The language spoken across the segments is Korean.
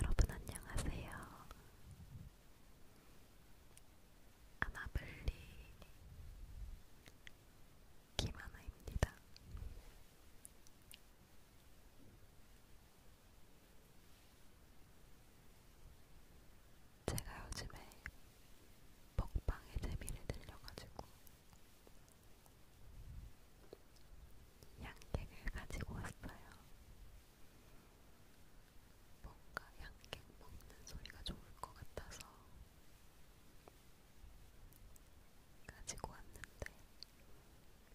여러분 안녕하세요. 아나블리 김하나입니다. 제가 요즘에 먹방의 재미를 들려가지고 양갱을 가지고 왔어요. 뭔가 양갱 먹는 소리가 좋을 것 같아서 가지고 왔는데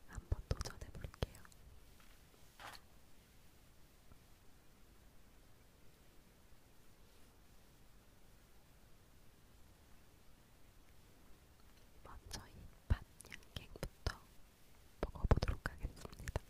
한번 도전해 볼게요. 먼저 이 밭양갱부터 먹어보도록 하겠습니다.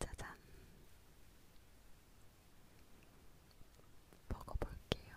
짜잔. 먹어볼게요.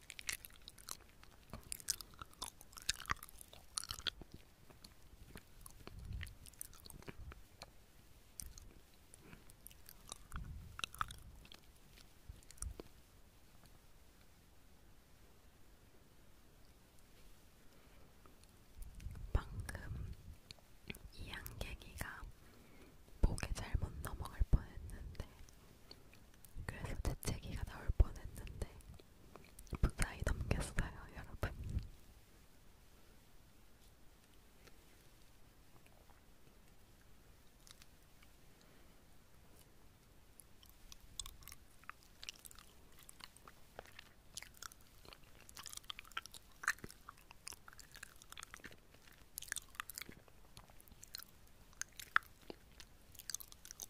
방금 이 양갱이가 목에 잘못 넘어갈 뻔했는데 그래서 재채기가 나올 뻔했는데 무사히 넘겼어요, 여러분.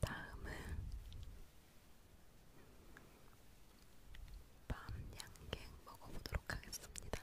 다음은 밤 양갱 먹어보도록 하겠습니다.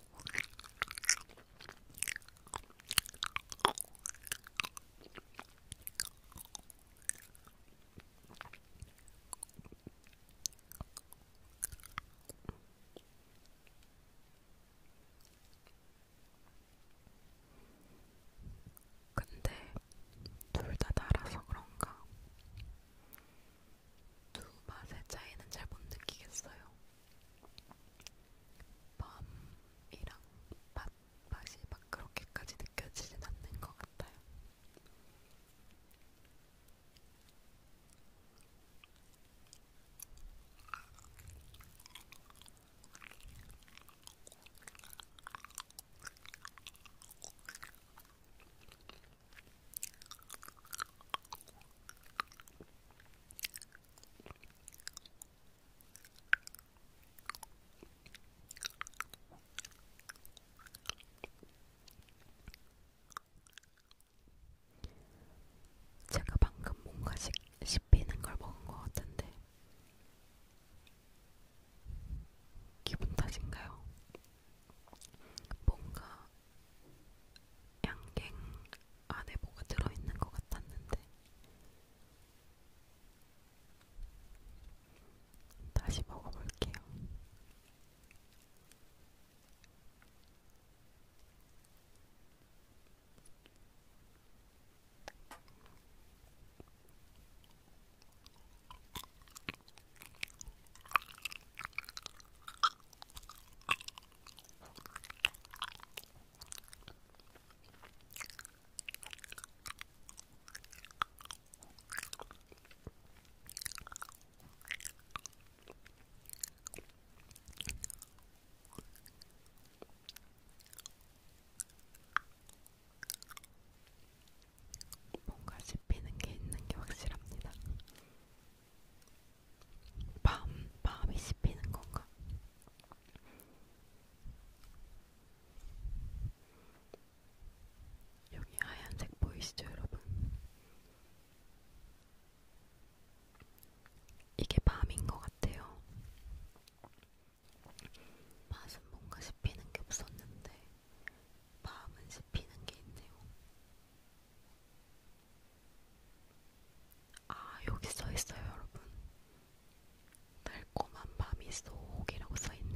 근데 둘 다 달아서 그런가 두 맛의 차이는 잘 못 느끼겠어요. 밤이랑 맛, 맛이 막 그렇게까지 느껴지진 않는 것 같아요. 제가 방금 뭔가 씹히는 걸 먹은 것 같은데 기분 탓인가요? 뭔가 양갱 안에 뭐가 들어있는 것 같았는데 다시 먹어볼게요. 뭔가 씹히는 게 있는 게 확실합니다. 밤, 밤이 씹히는 건가? 여기 하얀색 보이시죠, 여러분? 이게 밤인 것 같아요. 맛은 뭔가 씹히는 게 없었는데, 밤은 씹히는 게 있네요. 아, 여기 써 있어요, 여러분. 달콤한 밤이 쏙이라고 써 있네요.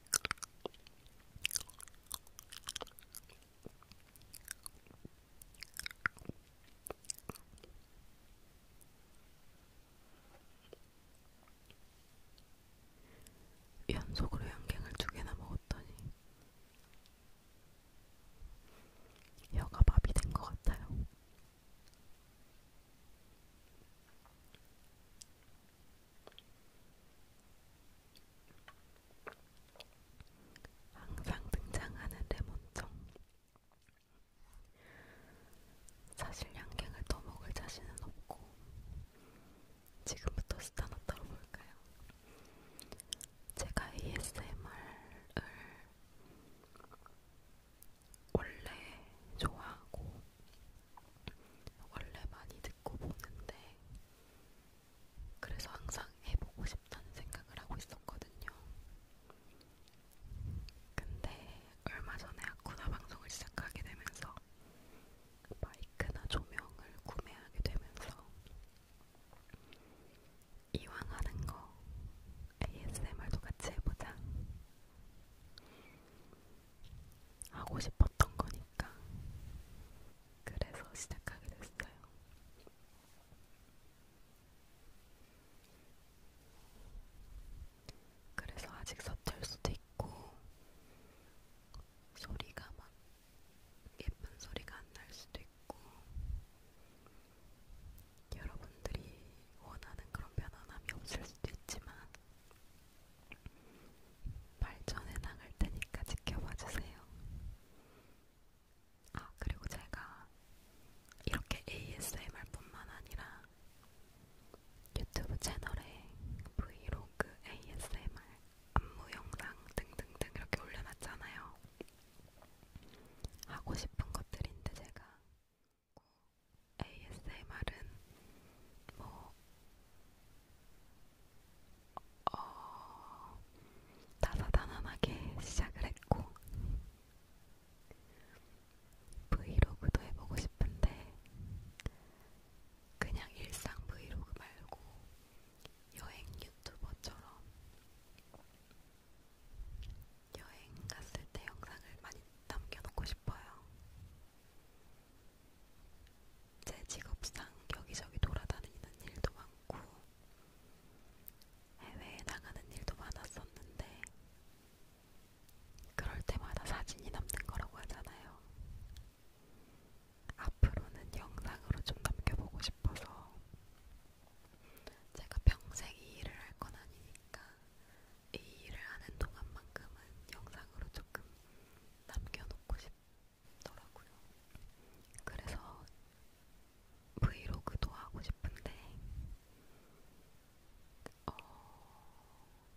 연속으로 양갱을 두 개나 먹었더니 혀가 밥이 된 것 같아요. 항상 등장하는 레몬청. 사실 양갱을 더 먹을 자신은 없고 지금부터 스타너 떨어볼까요? 제가 ASMR을 원래 좋아하고 원래 많이 듣고 보는데 그래서 항상 해보고 싶다는 생각을 하고 있었거든요. 근데 얼마 전에 아쿠나 방송을 시작하게 되면서 그 마이크나 조명을 구매하게 되면서 이왕 하는 거 ASMR도 같이 해보자. 하고 싶었던 거니까 그래서 시작하게 됐어요. 그래서 아직 서툴 수도 있고 소리가 막 예쁜 소리가 안 날 수도 있고 여러분들이 원하는 그런 편안함이 없을 수도 있지만 발전해 나갈 테니까 지켜봐 주세요. 아, 그리고 제가 이렇게 ASMR 뿐만 아니라 유튜브 채널에 브이로그, ASMR, 안무 영상 등등등 이렇게 올려놨잖아요. 하고 싶은 것들인데 제가 꼭 ASMR은 뭐 어, 다사다난하게 시작을 했고 브이로그도 해보고 싶은데 그냥 일상 브이로그 말고 여행 유튜버처럼 여행 갔을 때 영상을 많이 남겨놓고 싶어요. 제 직업상 여기저기 돌아다니는 일도 많고 해외에 나가는 일도 많았었는데 그럴 때마다 사진이 남는 거라고 하잖아요. 앞으로는 영상으로 좀 남겨보고 싶어서 제가 평생 이 일을 할 건 아니니까 이 일을 하는 동안만큼은 영상으로 조금 남겨놓고 싶더라고요. 그래서 브이로그도 하고 싶은데 어,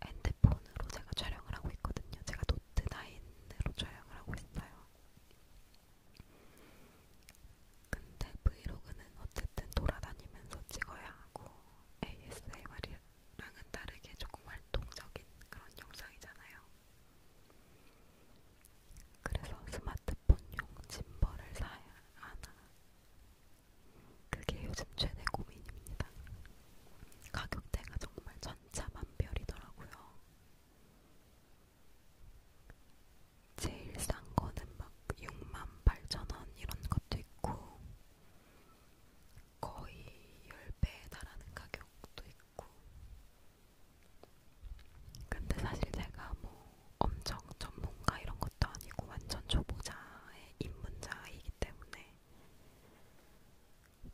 핸드폰으로 제가 촬영을 하고 있거든요. 제가 노트 9으로 촬영을 하고 있어요. 근데 브이로그는 어쨌든 돌아다니면서 찍어야 하고 ASMR이 랑은 다르게 조금 활동적인 그런 영상이잖아요. 그래서 스마트폰용 짐벌을 사야 하나? 그게 요즘 최대 고민입니다. 가격대가 정말 천차만별이더라고요. 제일 싼 거는 막 6만 8천 원 이런 것도 있고 거의 10배에 달하는 가격도 있고 근데 사실 제가 뭐 엄청 전문가 이런 것도 아니고 완전 초보자의 입문자이기 때문에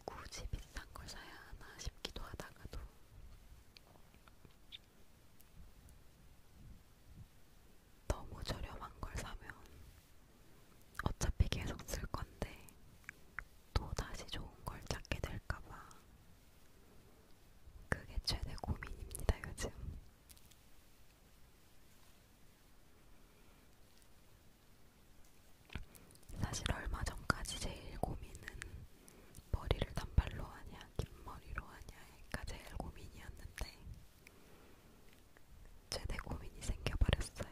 굳이 비싼 걸 사야 하나 싶기도 하다가도 너무 저렴한 걸 사면 어차피 계속 쓸 건데 또 다시 좋은 걸 찾게 될까봐 그게 최대 고민입니다 요즘. 사실 얼마 전까지 제일 고민은 머리를 단발로 하냐 긴 머리로 하냐가 제일 고민이었는데 최대 고민이 생겨버렸어요.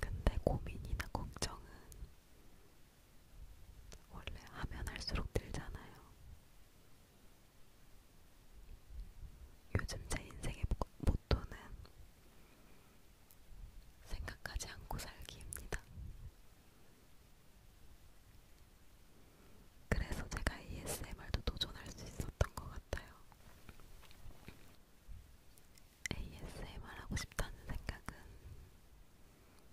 근데 고민이나 걱정은 원래 하면 할수록 들잖아요. 요즘 제 인생의 모토는 생각하지 않고 살기입니다. 그래서 제가 ASMR도 도전할 수 있었던 것 같아요. ASMR 하고 싶다는 생각은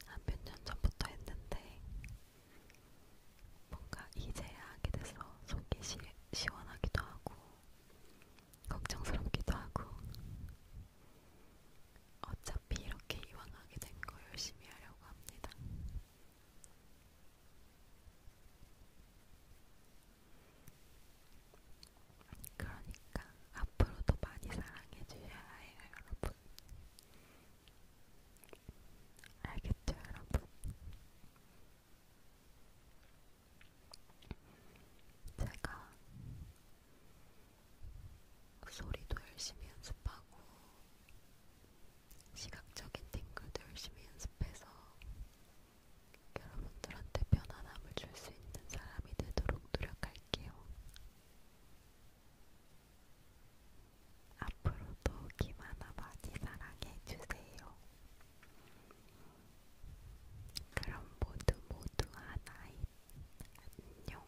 한 몇 년 전부터 했는데 뭔가 이제야 하게 돼서 속이 시, 시원하기도 하고 걱정스럽기도 하고 어차피 이렇게 이왕 하게 된거 열심히 하려고 합니다. 그러니까 앞으로도 많이 사랑해 주셔야 해요, 여러분. 알겠죠, 여러분? 제가 소리도 열심히 연습하고 시각적인 팅글도 열심히 연습해서 여러분들한테 편안함을 줄 수 있는 사람이 되도록 노력할게요. 앞으로도 김하나 많이 사랑해주세요. 그럼 모두 모두 하나인 안녕.